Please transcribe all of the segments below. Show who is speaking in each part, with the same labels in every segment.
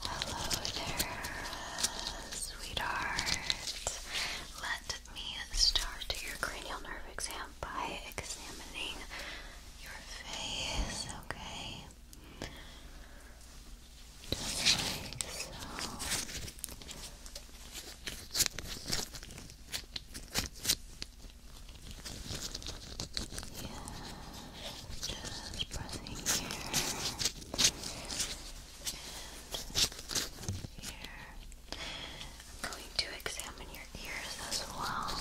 Speaker 1: Hello there, sweetheart. Let me start your cranial nerve exam by examining your face, okay? just pressing here and here. I'm going to examine your ears as well.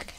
Speaker 1: Okay,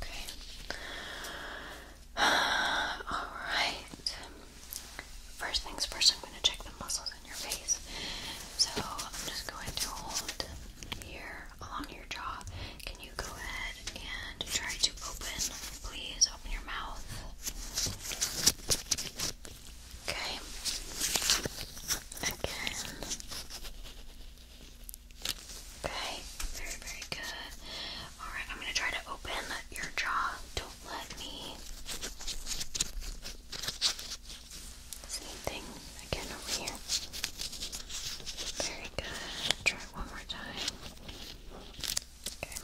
Speaker 1: Okay. All right. First things first, I'm going to check the muscles in your face. So I'm just going to hold here along your jaw. Can you go ahead and try to open? Please open your mouth. Okay. Again. Okay. Very, very good. Alright, I'm gonna try to open your jaw. Don't let me. Same thing. Again over here. Very good. Try one more time. Okay.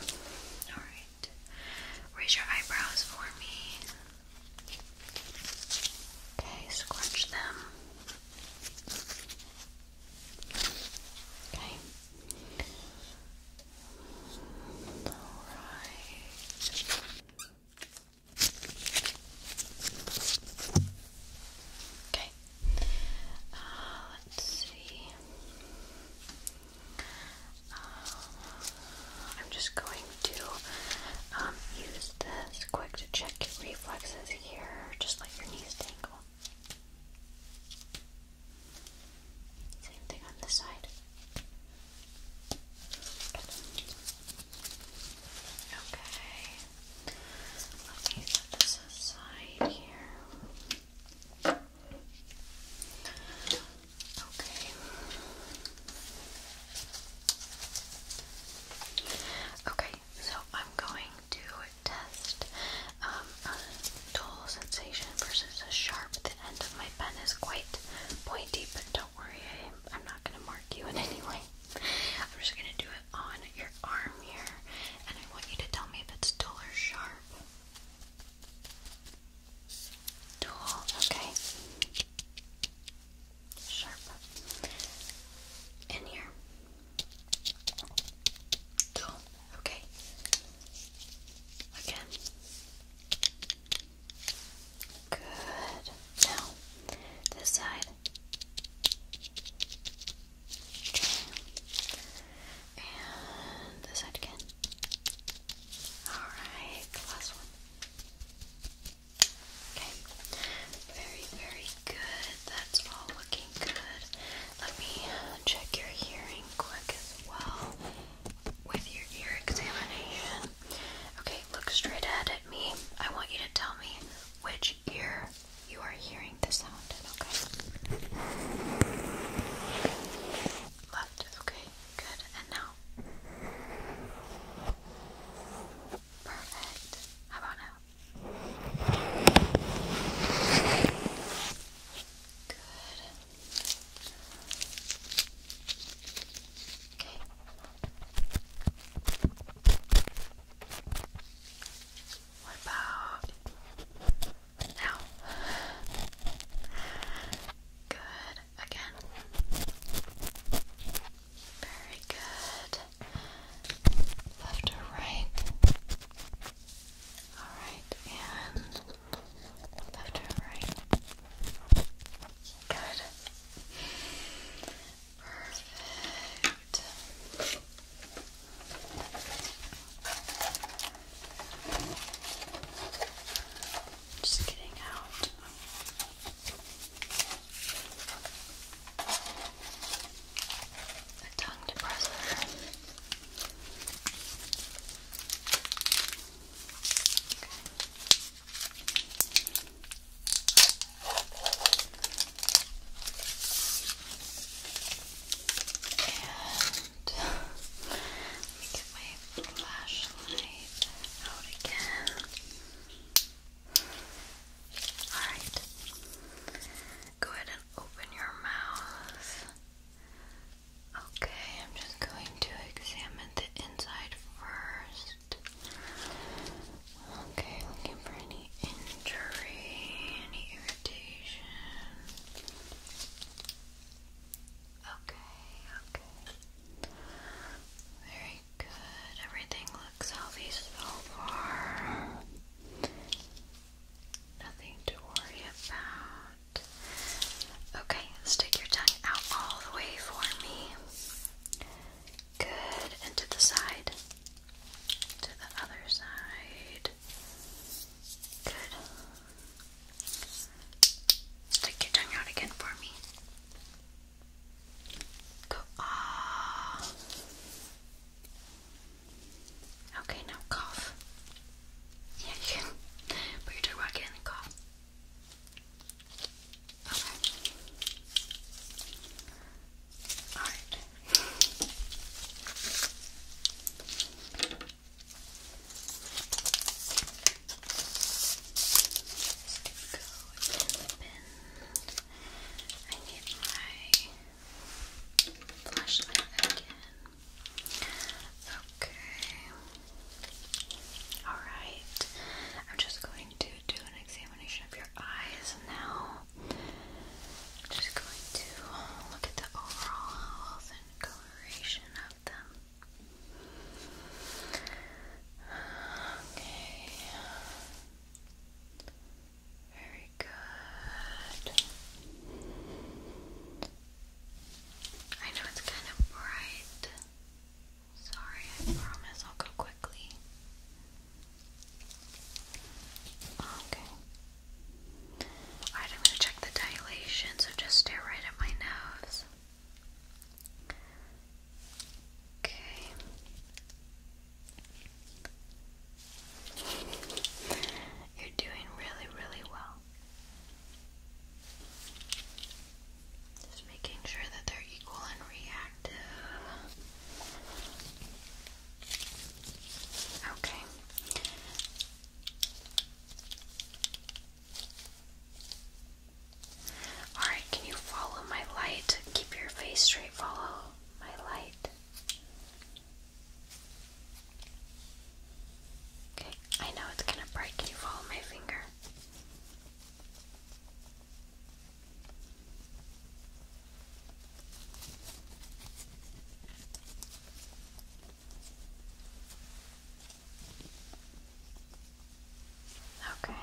Speaker 1: Alright. Raise your eyebrows for me. Okay, scrunch them. Okay. Alright. Okay. Uh, let's see. Uh, I'm just going to um, use this quick to check reflexes here. Just let your knees tangle. Same thing on this side. Okay. Let me set this aside here. Okay. Okay, so I'm going to test um, a dull sensation versus a sharp. The end of my pen is quite pointy, but don't worry, I'm not going to mark you in any way. I'm just gonna do it on your arm here, and I want you to tell me if it's dull or sharp. Dull, okay. Sharp. In here. Dull, okay. Again. Good. Now, this side. Okay. And this side again. Alright, last one. Okay. Very, very good. That's all looking good. Let me check your hearing quick as well with your ear examination. Okay, look straight ahead at me. I want you to tell me which ear you are hearing the sound in, okay? Left, okay, good. And now? Perfect. How about now? Good. Okay, what about now? Good. Again. Very good. Left or right? Alright, and left or right? Good. Perfect. Just getting out. A tongue depressor. And get my flashlight out again. Alright. Go ahead and open your mouth. Okay, I'm just going to examine the inside first. Okay, looking for any injury, any irritation. Okay, okay. Very good. Everything looks healthy so far. Nothing to worry about. Okay, stick your tongue out all the way for me. Good, and the side. To the other side. Good. Stick your tongue out again for me. Go off. Ah. Okay, now cough. Yeah, you can put your tongue back in and cough. Okay. All right. Let's go I need my flashlight again. Okay. Alright, I'm just going to do an examination of your eyes now. just going to look at the overall health and coloration of them. Okay. Very good. I know it's kind of bright. Sorry, I promise I'll go quickly. Okay. I'm gonna check the dilation, so just stare right at my nose. Okay. You're doing really, really well. Just making sure that they're equal and reactive. Okay. Alright, can you follow my light? Keep your face straight, follow my light. Okay, I know it's gonna break. Can you follow my finger? Okay.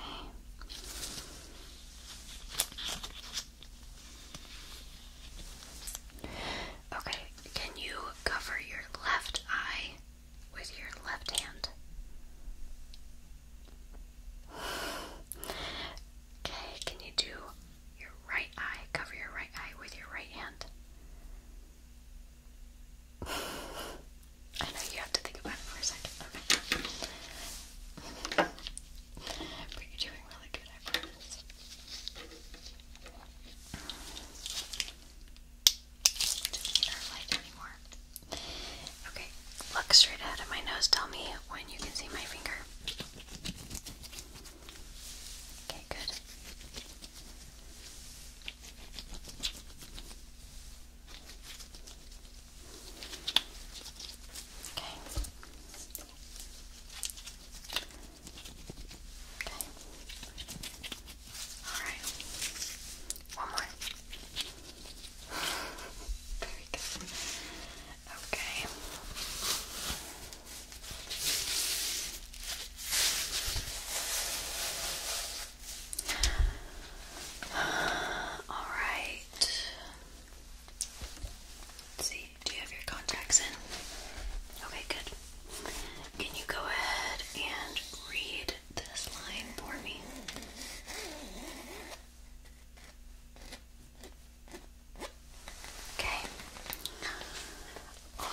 Speaker 1: Okay, can you cover your left eye with your left hand? Okay, can you do your right eye? Cover your right eye with your right hand. I know you have to think about for a second. But you're doing really good, Okay, look straight ahead of my nose. Tell me when you can see my finger. Okay, good. Okay. Okay. All right. One more. Very good. Okay. All right. Let's see do you have your contacts in? Okay, good. Can you go ahead and read this line for me? Okay. All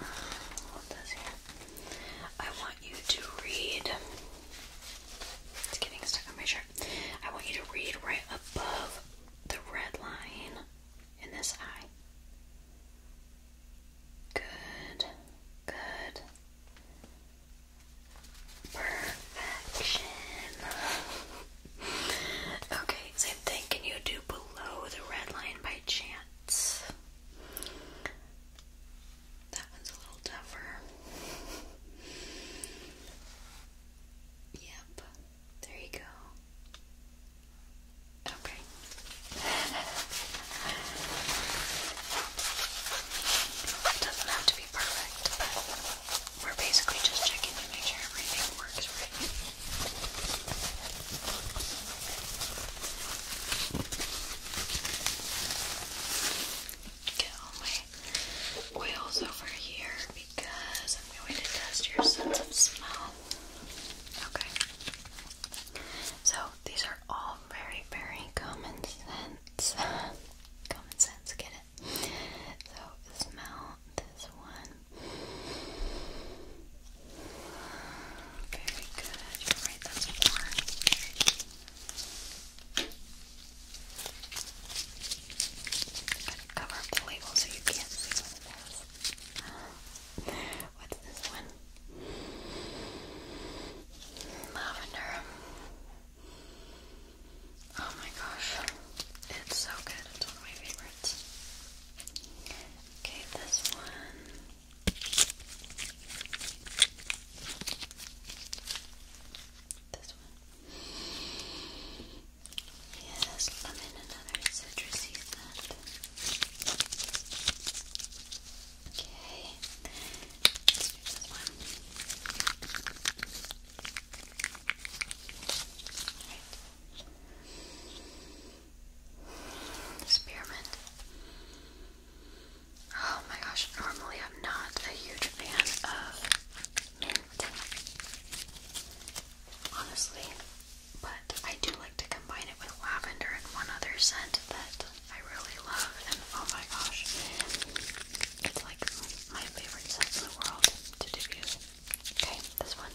Speaker 1: right. What does here? I want you to read it's getting stuck on my shirt. I want you to read right above the red line in this eye. Good. Good. Perfection. Okay, same thing. Can you do below the red line by chance? That one's a little tougher. Yep, there you go. Okay. It doesn't have to be perfect, we're basically just checking to make sure everything works right. Get all oils over here because I'm going to test your sense of smell. Okay. So these are all very, very common sense. common sense, get it? So smell this one. Very good. You're right, that's four. Gotta cover up the label so you can't see what it is. What's this one? Lavender. Oh my gosh. It's so good. It's one of my favorites. Okay, this one. This one. Yeah, that's lemon and other citrusy scent. Okay. Let's do this one. Alright. Spearmint. Oh my gosh, normally I'm not a huge fan of mint. Honestly. But I do like to combine it with lavender and one other scent that I really love. And oh my gosh, it's like my favorite scent in the world to diffuse. Okay, this one.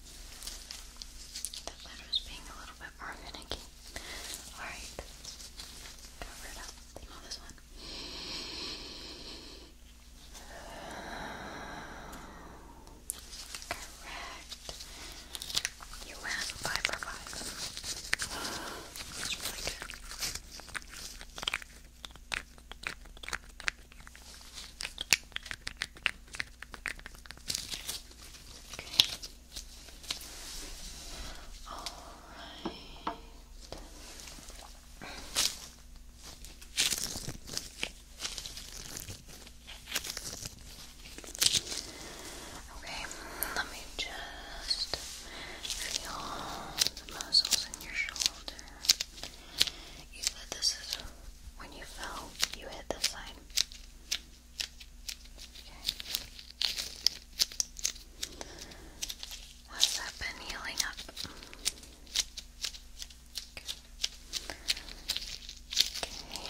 Speaker 1: The lid was being a little bit more finicky. Alright. Cover it up. Smell this one. Correct. You have five for five. That's really good. All right. Okay, let me just feel the muscles in your shoulder. You said this is when you fell, you hit the side side. that been healing up? Yeah,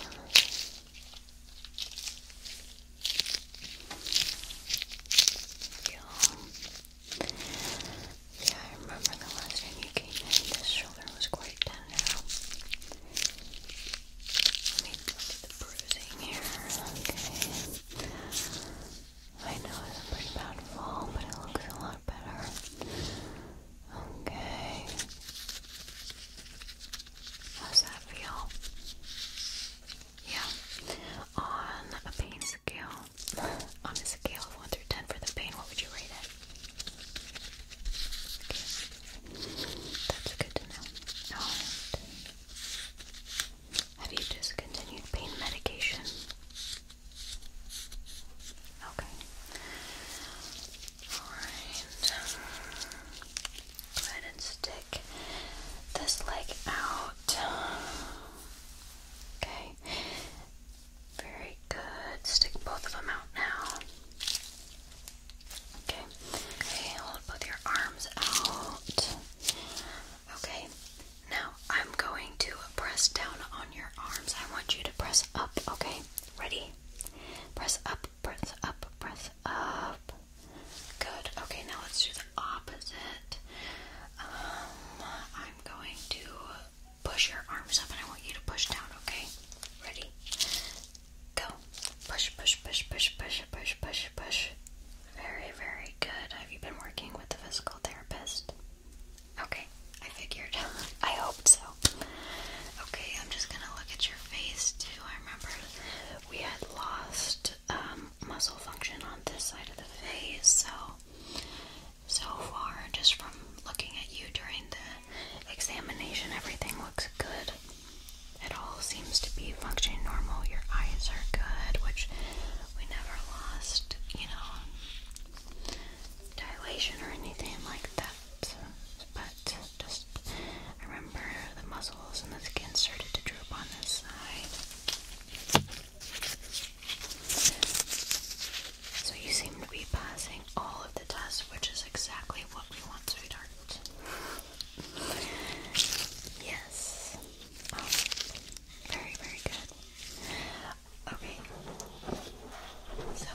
Speaker 1: I remember the last time you came in, this shoulder was quite tense. Let me look the bruising here. Okay. I know it's a pretty bad fall, but it looks a lot better. Okay. How's that feel? Yeah. On a pain scale, on a scale of 1 through 10 for the pain, what would you rate it? That's good to know. Have you discontinued pain medication? Okay. Alright. Go ahead and stick this leg out. Okay. Very good. Stick both of them out now. Okay. Okay, hold both your arms out. Okay. Now I'm going to press down on your arms. I want you to press up, okay? Ready? Press up, press up, press up. Good. Okay, now let's do the opposite. Um, I'm going to push your arms up and I want you to push down, okay? Ready? Go. Push, push, push, push, push, push, push, push. Very, very good. Have you been working with a physical therapist? Okay, I figured. I hoped so. Okay, I'm just gonna look at your face too. I remember we had lost um, muscle function on this side of the face, so so far, just from looking at you during the examination, everything looks good. It all seems to be functioning normal. Your eyes are good, which we never lost, you know, dilation or anything like that. But just remember the muscles and the skin started to droop on this side. So you seem to be passing all of the tests, which is exactly what we want, sweetheart. Yes. Um, very, very good. Okay. So,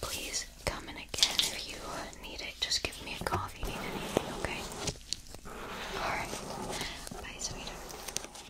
Speaker 1: please come in again if you need it. Just give me a call if you need anything, okay? Alright. Bye, sweetheart.